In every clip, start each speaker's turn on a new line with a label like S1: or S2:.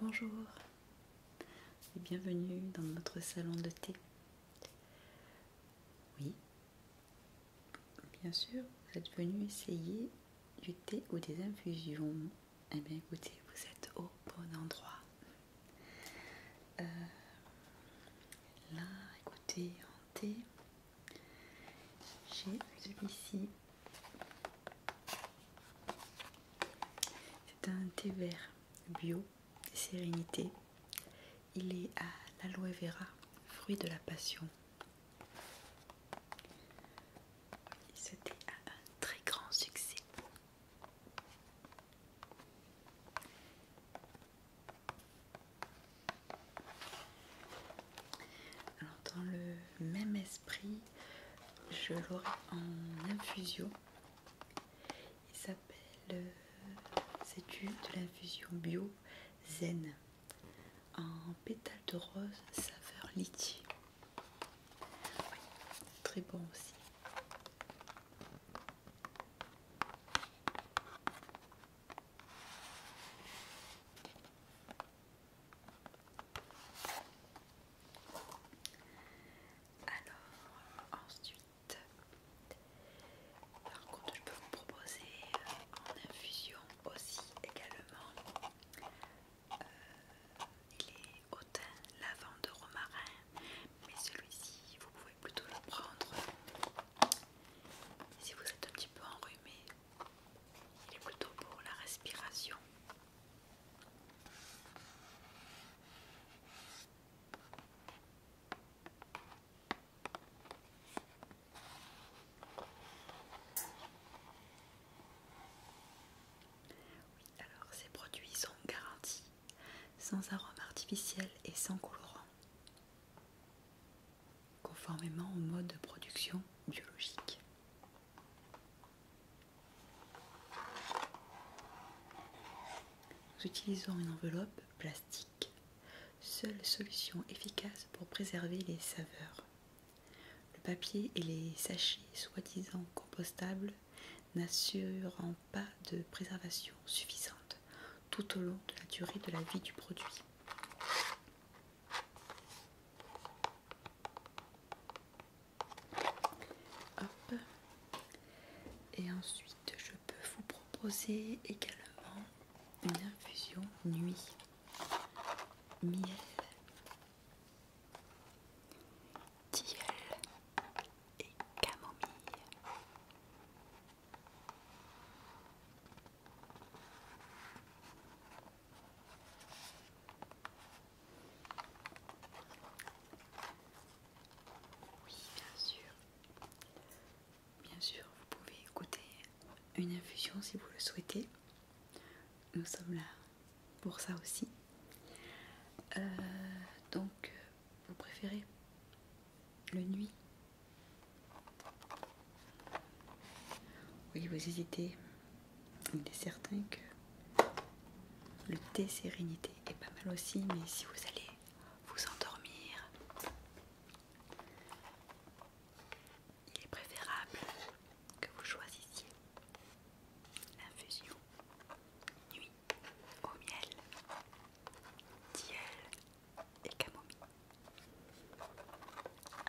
S1: Bonjour et bienvenue dans notre salon de thé. Oui, bien sûr, vous êtes venu essayer du thé ou des infusions eh bien écoutez, vous êtes au bon endroit. Euh, là, écoutez, en thé, j'ai celui-ci. C'est un thé vert bio, sérénité. Il est à l'aloe vera, fruit de la passion. C'était un très grand succès. Alors dans le même esprit, je l'aurai en infusion. Il s'appelle, c'est euh, du de l'infusion bio zen en pétales de rose saveur litchi très bon aussi. Alors, ensuite, par contre, je peux vous proposer euh, en infusion aussi également euh, il est hautain, lavant de romarin, mais celui-ci vous pouvez plutôt le prendre si vous êtes un petit peu enrhumé, il est plutôt pour la respiration alors ces produits sont garantis, sans arômes artificiel et sans colorant, conformément au mode de production biologique. Nous utilisons une enveloppe plastique, seule solution efficace pour préserver les saveurs. Le papier et les sachets soi-disant compostables n'assurant pas de préservation suffisante tout au long de la durée de la vie du produit. Et ensuite, je peux vous proposer également une infusion nuit. Miel, tilleul et camomille. Oui, bien sûr. Bien sûr, vous pouvez goûter une infusion si vous le souhaitez. Nous sommes là pour ça aussi. Euh, donc, vous préférez le nuit Oui, vous hésitez. Il est certain que le thé sérénité est pas mal aussi, mais si vous allez vous endormir, il est préférable que vous choisissiez l'infusion nuit au miel, tilleul et camomille. Alors,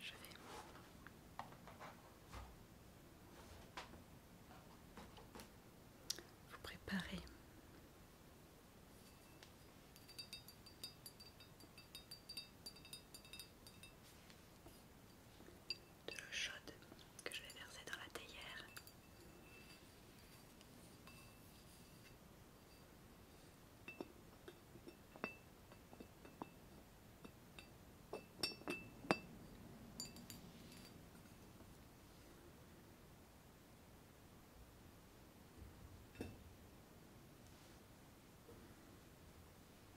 S1: je vais vous préparer de l'eau chaude que je vais verser dans la théière.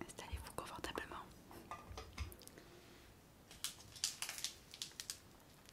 S1: Installez-vous confortablement.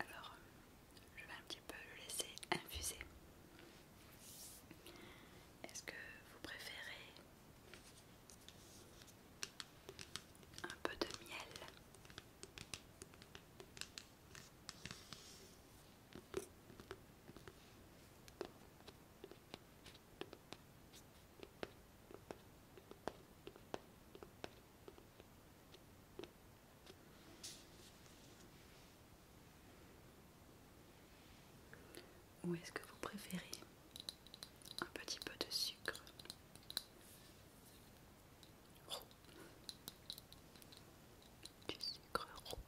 S1: Alors, je vais un petit peu le laisser infuser. Est-ce que vous préférez un peu de miel ou est-ce que vous préférez un petit peu de sucre Du sucre roux.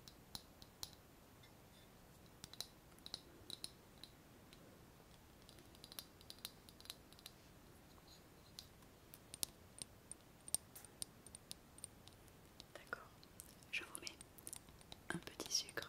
S1: D'accord, je vous mets un petit sucre.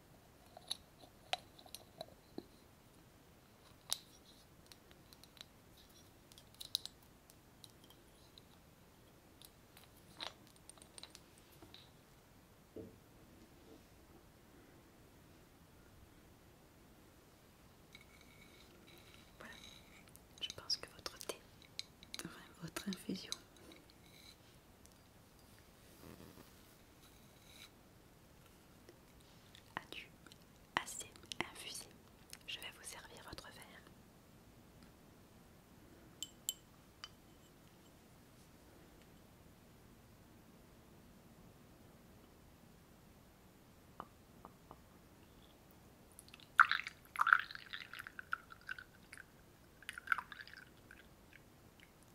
S1: Voilà, je pense que votre thé, votre infusion assez infusé. Je vais vous servir votre verre.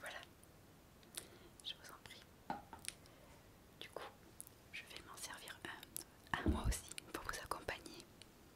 S1: Voilà, je vous en prie. Du coup, je vais m'en servir un à moi aussi pour vous accompagner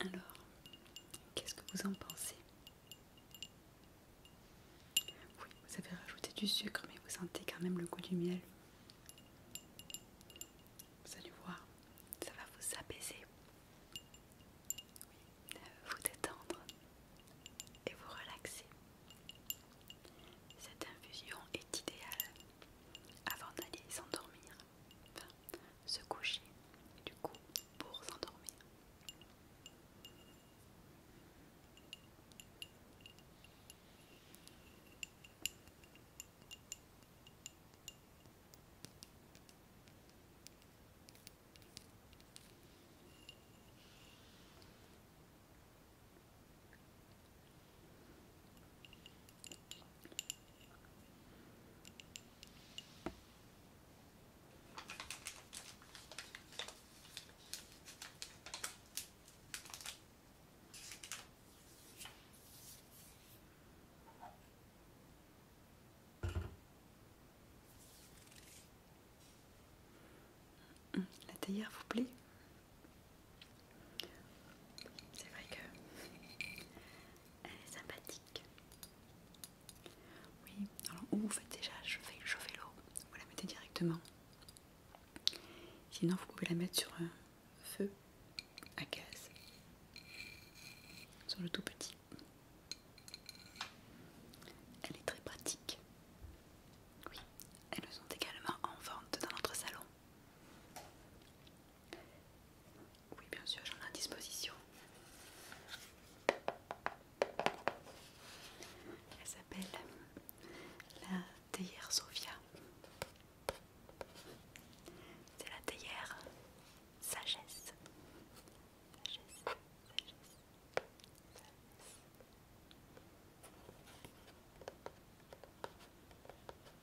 S1: Alors, qu'est-ce que vous en pensez Oui, vous avez rajouté du sucre, mais vous sentez quand même le goût du miel. Vous allez voir, ça va vous apaiser, oui, euh, vous détendre et vous relaxer. Cette infusion est idéale avant d'aller s'endormir, se coucher, du coup pour s'endormir. La s'il vous plaît c'est vrai que elle est sympathique. Oui, alors vous faites déjà chauffer, chauffer l'eau, vous la mettez directement. Sinon, vous pouvez la mettre sur un feu à gaz, sur le tout petit. Elle est très pratique. Oui, elles sont également en vente dans notre salon. Oui, bien sûr, j'en ai à disposition. Elle s'appelle euh, la théière Sophia. C'est la théière sagesse. sagesse.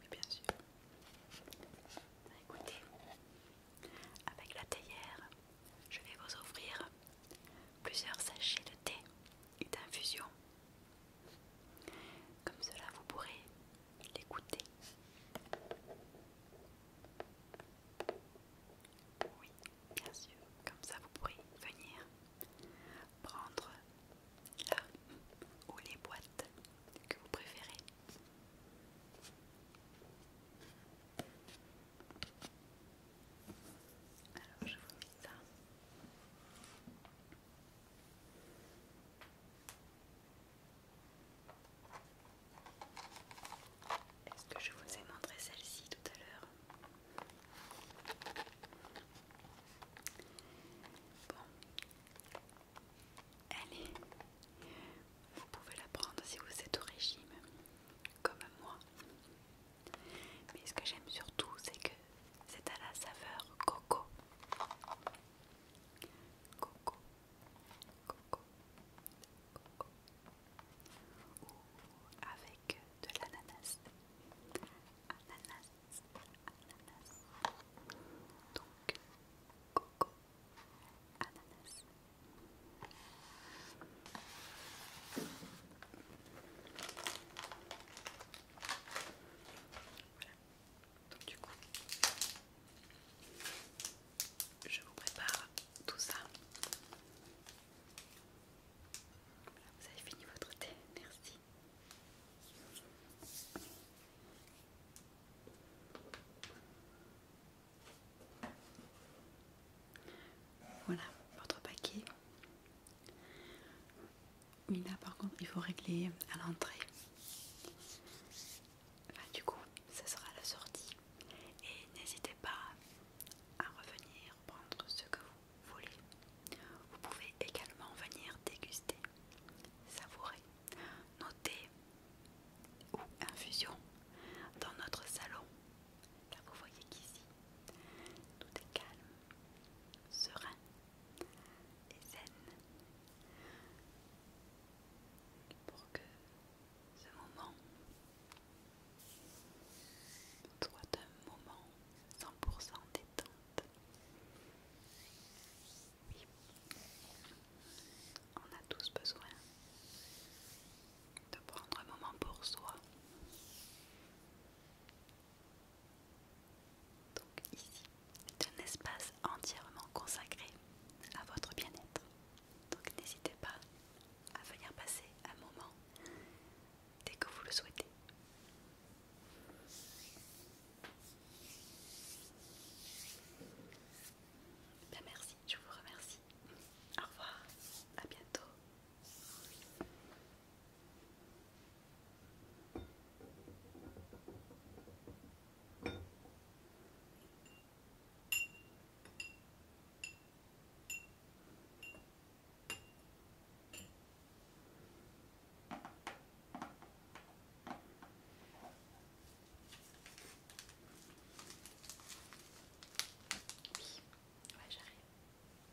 S1: Oui, bien sûr. Écoutez, avec la théière, je vais vous offrir plusieurs sachets de thé et d'infusion. Comme cela, vous pourrez les goûter. Oui, bien sûr. Comme ça, vous pourrez venir prendre là ou les boîtes que vous préférez. Alors je vous mets ça. Est-ce que je vous ai montré celle-ci tout à l'heure Bon, allez, vous pouvez la prendre si vous êtes au régime comme moi. Mais ce que j'aime surtout, c'est que c'est à la saveur coco. Coco. Coco. avec de l'ananas. Ananas. Ananas. Donc, coco. Ananas. Donc du coup, je vous prépare tout ça. vous avez fini votre thé, merci. Voilà votre paquet. Oui là par contre il faut régler à l'entrée. du coup ce sera la sortie. Et n'hésitez pas à revenir prendre ce que vous voulez. Vous pouvez également venir déguster, savourer, noter ou infusion dans notre salon, car vous voyez qu'ici, tout est calme, serein et zen pour que ce moment soit un moment 100% détente. on a tous besoin de prendre un moment pour soi. Donc ici, c'est un espace entièrement consacré à votre bien-être. Donc n'hésitez pas à venir passer un moment dès que vous le souhaitez. Ben, merci, je vous remercie au revoir, à bientôt. Oui, ouais, j'arrive.